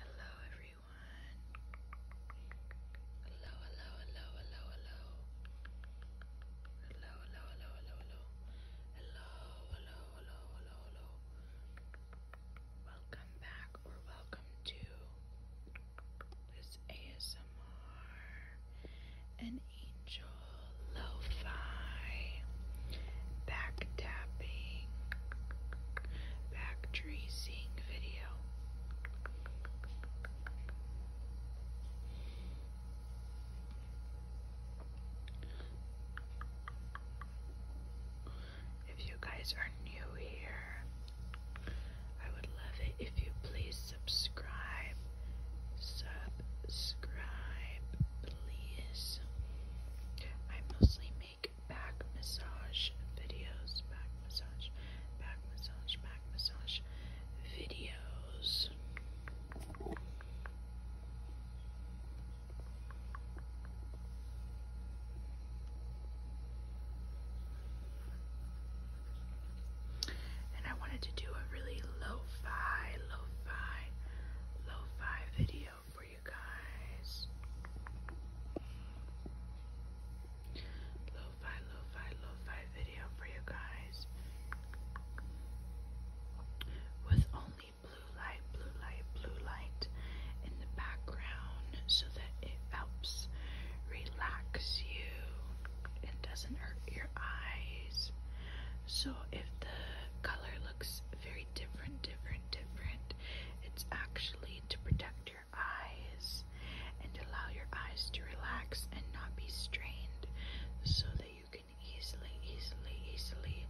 Hello everyone. Hello, hello, hello, hello, hello. Hello, hello, hello, hello, hello. Hello, hello, hello, hello, hello. Welcome back or welcome to this ASMR and Angel lo back tapping, back tracing video. If you guys are new here, I would love it if you please subscribe. Subscribe please. I mostly make back massage videos, back massage, back massage, back massage videos. And I wanted to do a really lo-fi, lo-fi, lo-fi video for you guys. Lo-fi, lo-fi, lo-fi video for you guys. With only blue light, blue light, blue light in the background so that it helps relax you and doesn't hurt your eyes. So if the color looks very different, different, different, it's actually to protect your eyes and allow your eyes to relax and not be strained so that you can easily, easily, easily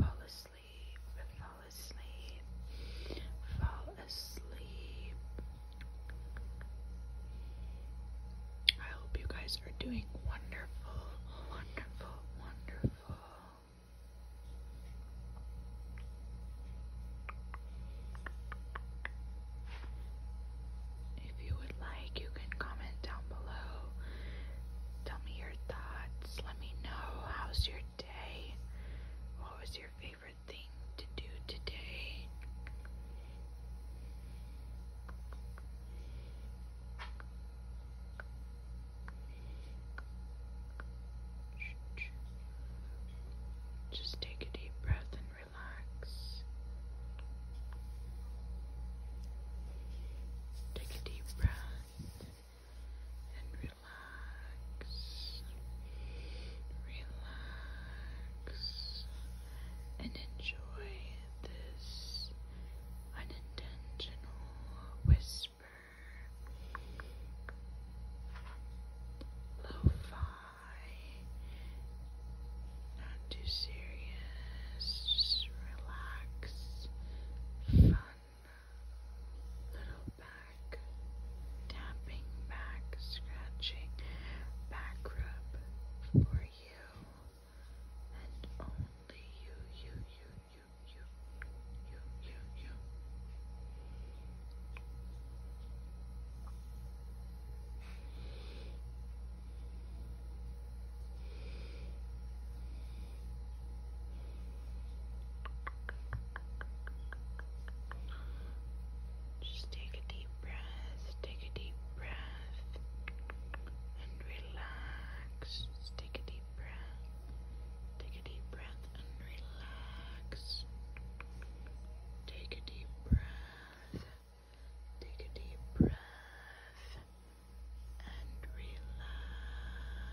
fall asleep, fall asleep, fall asleep. I hope you guys guys are doing wonderful, wonderful, wonderful. If you would like, you can comment down below. Tell me your thoughts. Let me know how's your day. What was your favorite thing? to do today. Just take a deep breath and relax. Take a deep breath and relax. Relax and enjoy this unintentional whisper. Lo-fi, not too serious, relax, fun little back, tapping back, scratching back rub for you and only you, you, you, you, you, you, you, you. Just take a deep breath, take a deep breath, and relax. take a deep breath, take a deep breath, and relax. Take a deep breath, take a deep breath, and relax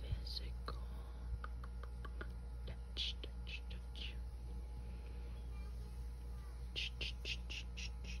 Physical touch, touch, touch. Ch -ch -ch -ch -ch -ch.